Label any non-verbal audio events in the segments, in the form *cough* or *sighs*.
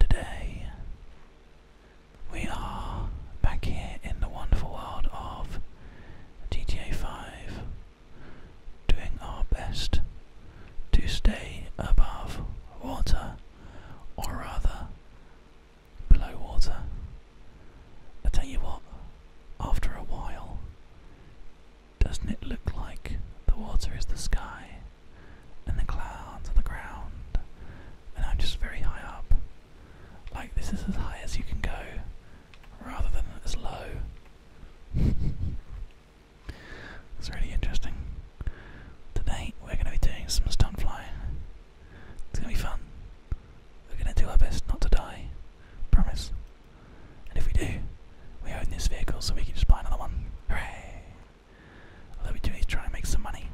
Today, we are back here in the wonderful world of GTA 5, doing our best to stay above water, or rather, below water. I tell you what, after a while, doesn't it look like the water is the sky and the clouds are the ground? And I'm just very high up. Like this is as high as you can go rather than as low. *laughs* it's really interesting. Today we're going to be doing some stunt flying. It's going to be fun. We're going to do our best not to die. Promise. And if we do, we own this vehicle so we can just buy another one. Hooray! Although we do need to try and make some money.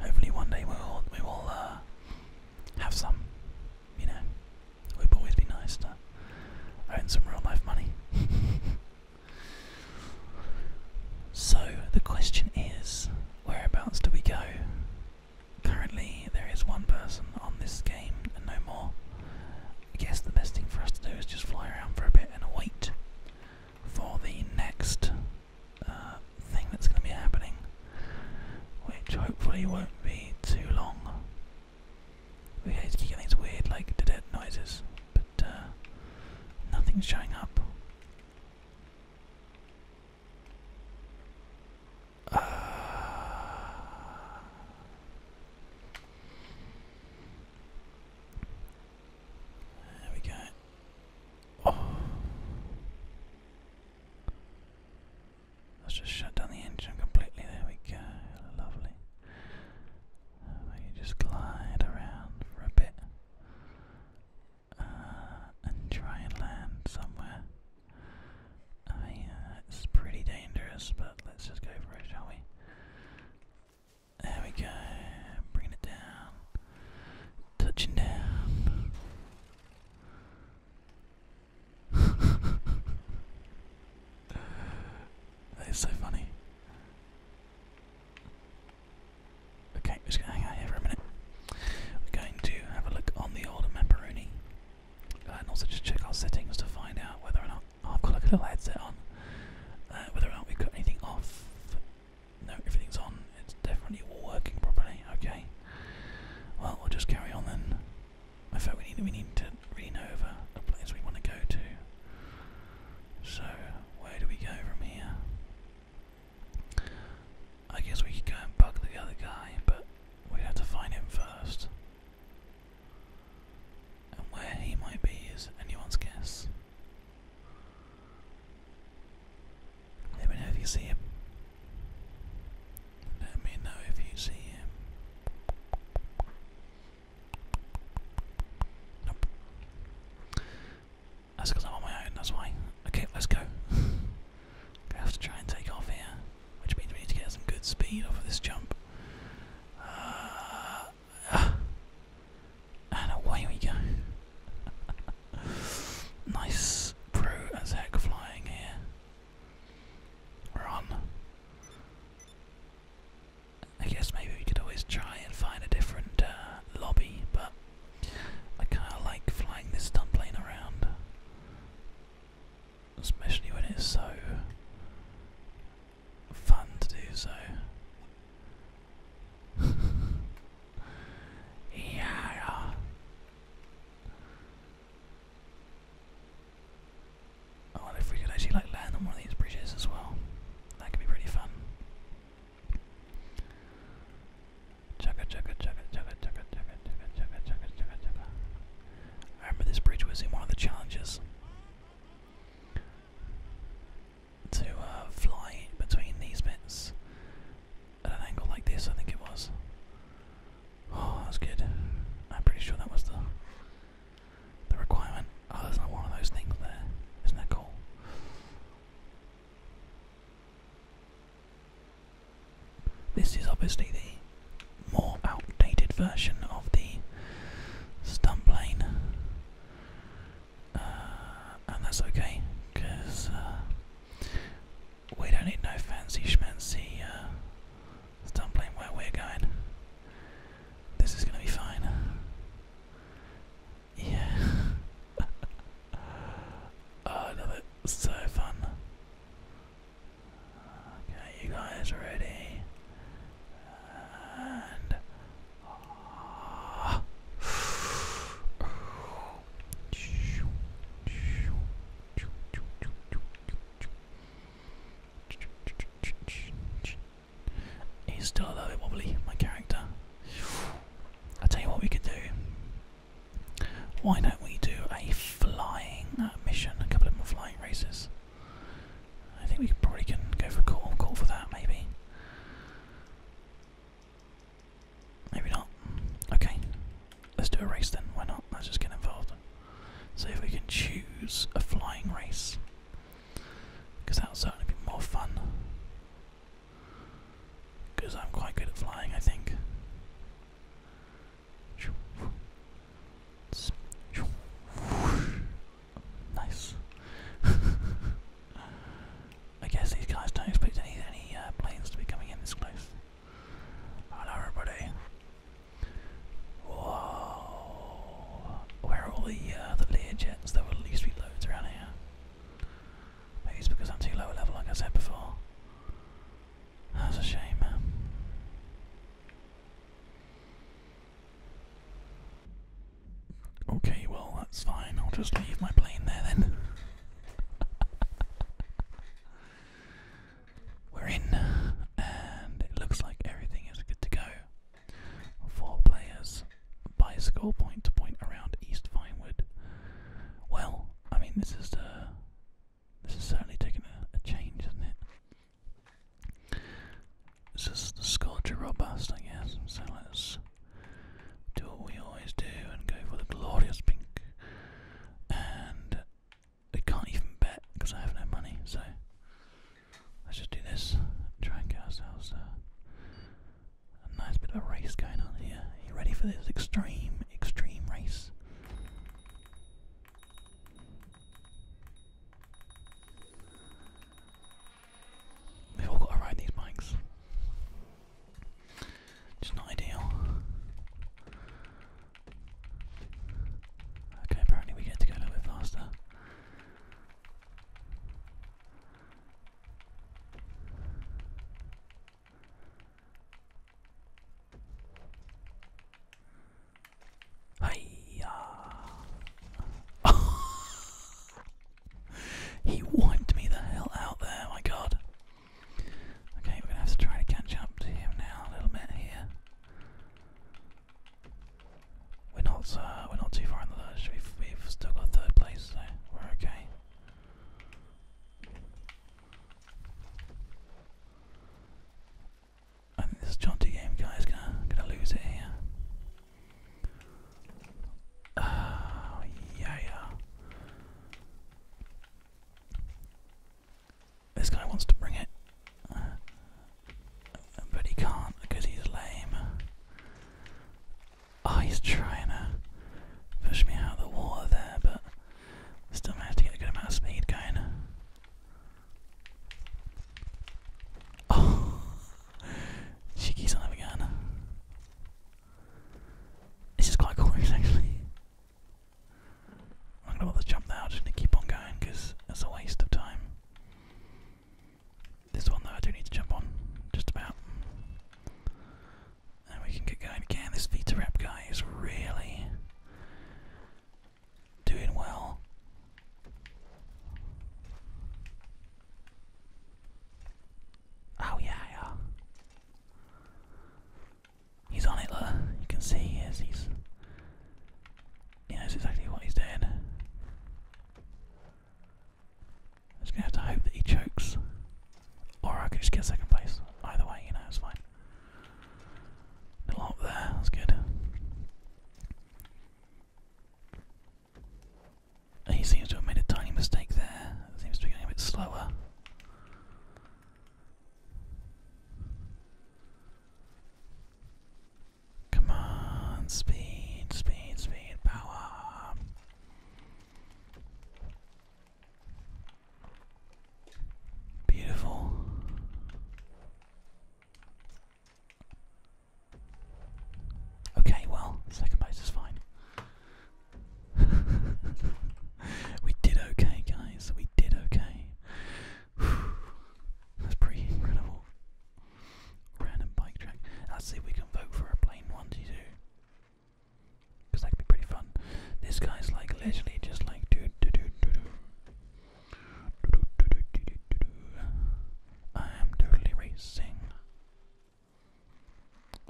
Hopefully one day we will we will uh, have some. You know, it would always be nice to own some real life money. *laughs* so the question is, whereabouts do we go Currently, there is one person on this game and no more. I guess the best thing for us to do is just fly around for a bit and wait for the next uh, thing that's going to be happening, which hopefully won't be too long. We keep getting these weird, like, dead noises, but uh, nothing's showing up. Uh, there we go. Let's oh. just shut down the engine completely. There we go. Lovely. Uh, just glide around for a bit. Uh, and try and land somewhere. I uh, it's pretty dangerous, but let's just go for it, shall we? There we go, bringing it down, touching down. *laughs* that is so funny. Okay, just hang out here for a minute. We're going to have a look on the older Maparoni and also just check our settings to find out whether or not oh, I've got a little headset on, uh, whether or not we cut anything off. No, everything's on. It's definitely all working properly. Okay. Well, i will just carry on then. I felt we need we need to really over the place we want to go to. So where do we go from here? I guess we could go and bug the other guy, but we'd have to find him first. And where he might be is anyone's guess. Let me know if you see him. Let me know if you see him. That's because I'm on my own, that's why. Okay, let's go. *laughs* I have to try and take off here, which means we need to get some good speed off of this jump. Uh, and away we go. *laughs* nice pro as heck flying here. we I guess maybe we could always try and find a different uh, lobby, but I kind of like flying this stunt plane around, especially when it's so fun to do so. *laughs* yeah. I if we could actually like land on one of these bridges as well. That could be pretty fun. Chugga chugga chugga chugga chugga chugga chugga chugga chugga chugga chugga. I remember this bridge was in one of the challenges to uh, fly between these bits at an angle like this. I think it was. Oh, that was good. I'm pretty sure that was the the requirement. Oh, there's not one of those things there. Isn't that cool? This is obviously the more outdated version of the stunt plane, uh, and that's okay because uh, we don't need no fancy schmancy uh, stunt plane where we're going. This is going to be fine. Yeah. *laughs* oh, no, that's so fun. Okay, you guys ready? And. Oh. *sighs* He's still a little bit wobbly, my character. I tell you what we could do. Why don't we do a flying mission? A couple of more flying races. I think we could probably can go for a call, call for that maybe. Maybe not. Okay, let's do a race then. Why not? Let's just get involved. See if we can choose a flying race, because that'll certainly be more fun. Because I'm quite good at flying, I think. Nice. *laughs* I guess these guys don't expect any any uh, planes to be coming in this place. Hello, everybody. Whoa! Where are all the uh, the Lear jets? There will at least be loads around here. But it's because I'm too low a level, like I said before. That's a shame. Okay, well, that's fine. I'll just leave my plane there then. *laughs* We're in, and it looks like everything is good to go. Four players by score point to point around East Vinewood. Well, I mean this is the uh, this is certainly taking a, change, isn't it? This is the scourge robust, I guess. So let's do what we always do and go for the glorious pink. And I can't even bet because I have no money, so Let's just do this and try and get ourselves a nice bit of a race going on here. Are you ready for this extreme, extreme race? We've all got to ride these bikes. Just not ideal. Okay, apparently we get to go a little bit faster. *laughs* he wiped me the hell out there, my god. Okay, we have to try to catch up to him now a little bit here. We're not uh, we're not too far in the lurch. We've we've still got third place, so we're okay. I think this jaunty game guy is gonna gonna lose it here. Ah, yeah yeah. This guy wants to bring it. But he can't because he's lame. Oh, he's trying to push me out of the water there, but still managed to get a good amount of speed going. Oh, *laughs* cheeky son of a This is quite cool *laughs* actually. I'm gonna bother jump now, to keep on going because it's a waste of time. This one though I do need to jump on, just about. And we can get going again. This Vita Rap guy is really doing well. Oh yeah, He's on it, look. You can see He's yeah, that's exactly what he's doing. I'm just gonna have to hope that he chokes. Or I can just get second place. Either way, you know, it's fine. Little up there, that's good. He seems to have made a tiny mistake there. Seems to be going a bit slower. Come on, speed, speed, speed, power. Beautiful. Okay, well, second place is fine. *laughs* we did okay, guys. We did okay. That's pretty incredible. Random bike track. Let's see if we can vote for a plain one to do. Because that could be pretty fun. This guy's like literally just like do do do do do. Do do do do do do do. I am totally racing.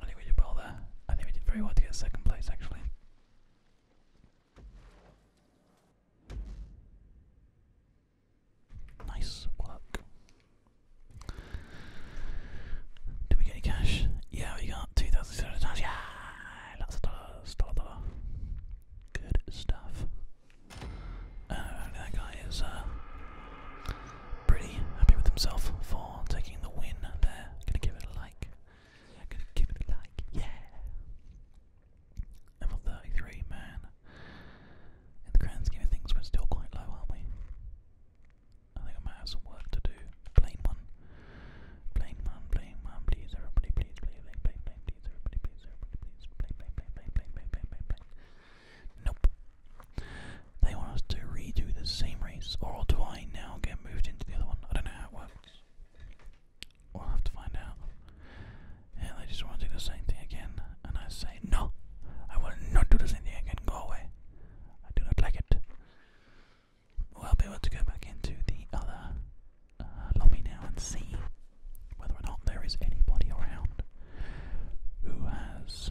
I think we did well there. I think we did very well to get second place actually. Nice work. Did we get any cash? Yeah, we got two thousand six hundred dollars. Yeah, lots of dollars, dollar, dollar. Good stuff. Uh, that guy is uh, pretty happy with himself for taking the win there. Gonna give it a like. Gonna give it a like. Yeah. Level 33, man. In the grand scheme of things, we're still quite low, aren't we? I think I might have some work to do. Plane one. Plane one, plane one, please, everybody, please, please, plane, please, everybody, please, everybody, please, plane, plane, plane, plane, plane, plane, plane, Nope. They want us to redo the same race, or do I now get moved into the other one? I don't know how it works. We'll have to find out. Yeah, they just want to do the same thing again, and I say, No, I will not do the same thing again. Go away. I do not like it. We'll be able to go back into the other uh, lobby now and see whether or not there is anybody around who has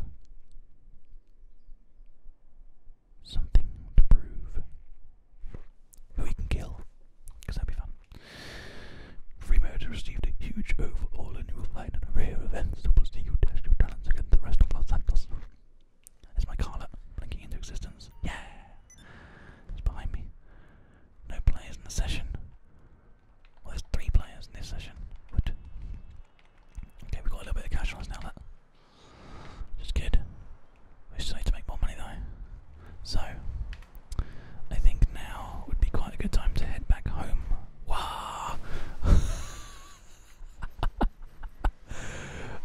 something to prove who he can kill, because that'd be fun. Free mode received a huge overhaul, and you will find an array of events that will see you your talents against the rest of Los Santos. There's my Carla blinking into existence. Yeah! It's behind me. No players in the session. Well, there's three players in this session. Good. Okay, we've got a little bit of cash on us now. Just good. We still need to make more money though. So, I think now would be quite a good time to head back home. Wow! *laughs*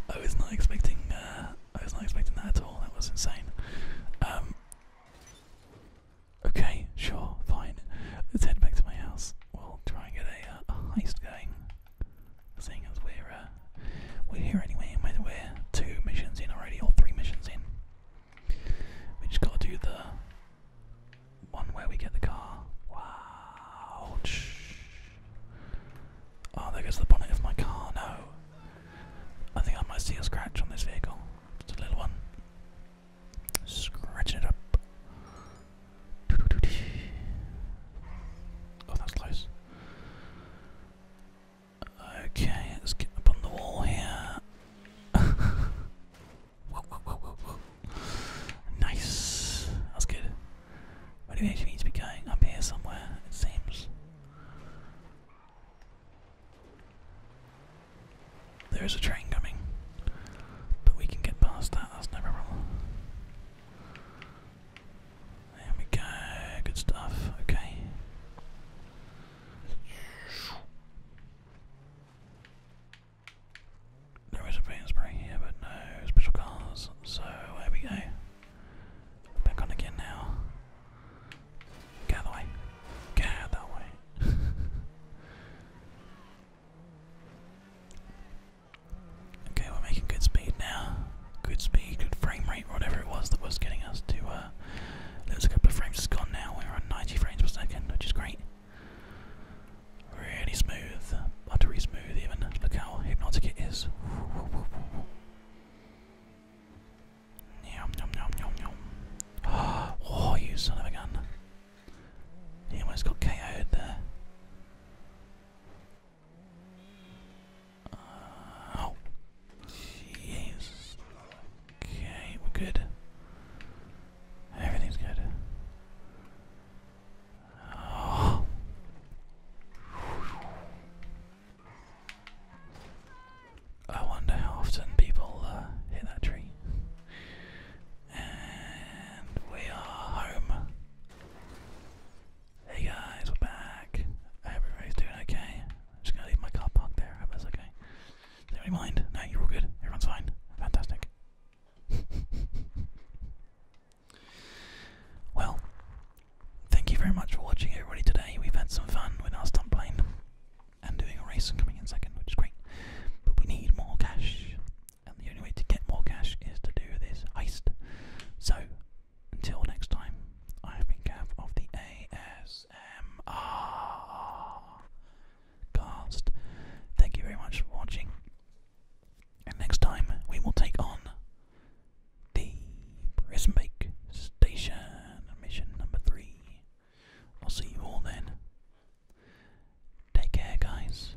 I was not expecting. Uh, I was not expecting that at all. That was insane. Um, okay, sure, fine. Let's head back to my house. We'll try and get a uh, heist going. Seeing as we're uh, we're here anyway, whether we're two missions in already or three missions in, we just gotta do the one where we get the car. Wow! Oh, there goes the bonnet of my car. No, I think I might see a scratch on this vehicle. Just a little one. Scratching it up. Oh, that's close. Okay, let's get up on the wall here. *laughs* Nice. That's good. Where do we to be going? Up here somewhere, it seems. There is a train coming, but we can get past that, that's no problem. There we go, good stuff, okay. There is a paint spray here, but no special cars, so there we go. Back on again now. Get out Get out of way. *laughs* Okay, we're making good speed now. Good speed, good frame rate, whatever it was that was getting us to. there uh, was a couple of frames that gone now. We're on 90 frames per second, which is great. Really smooth, buttery smooth even. Look how hypnotic it is. Yum *gasps* oh, you son of a gun! He almost got KO'd there oh, jeez. Okay, we're good. Everything's good. I wonder how often people uh, hit that tree. And we are home. Hey guys, we're back. everybody's doing okay. I'm just gonna leave my car parked there. I was okay. Never mind? No, you're all good. Everyone's fine. Fantastic. *laughs* well, thank you very much for watching, everybody. Today we've had some fun with our stunt plane and doing a race and coming in second, which is great. But we need more cash and the only way to get more cash is to do this heist. So, until next time, I have been Gav of the ASMR cast. Thank you very much for watching, and next time we will take on the Prison Break Station mission number three. I'll see you all then. Take care, guys.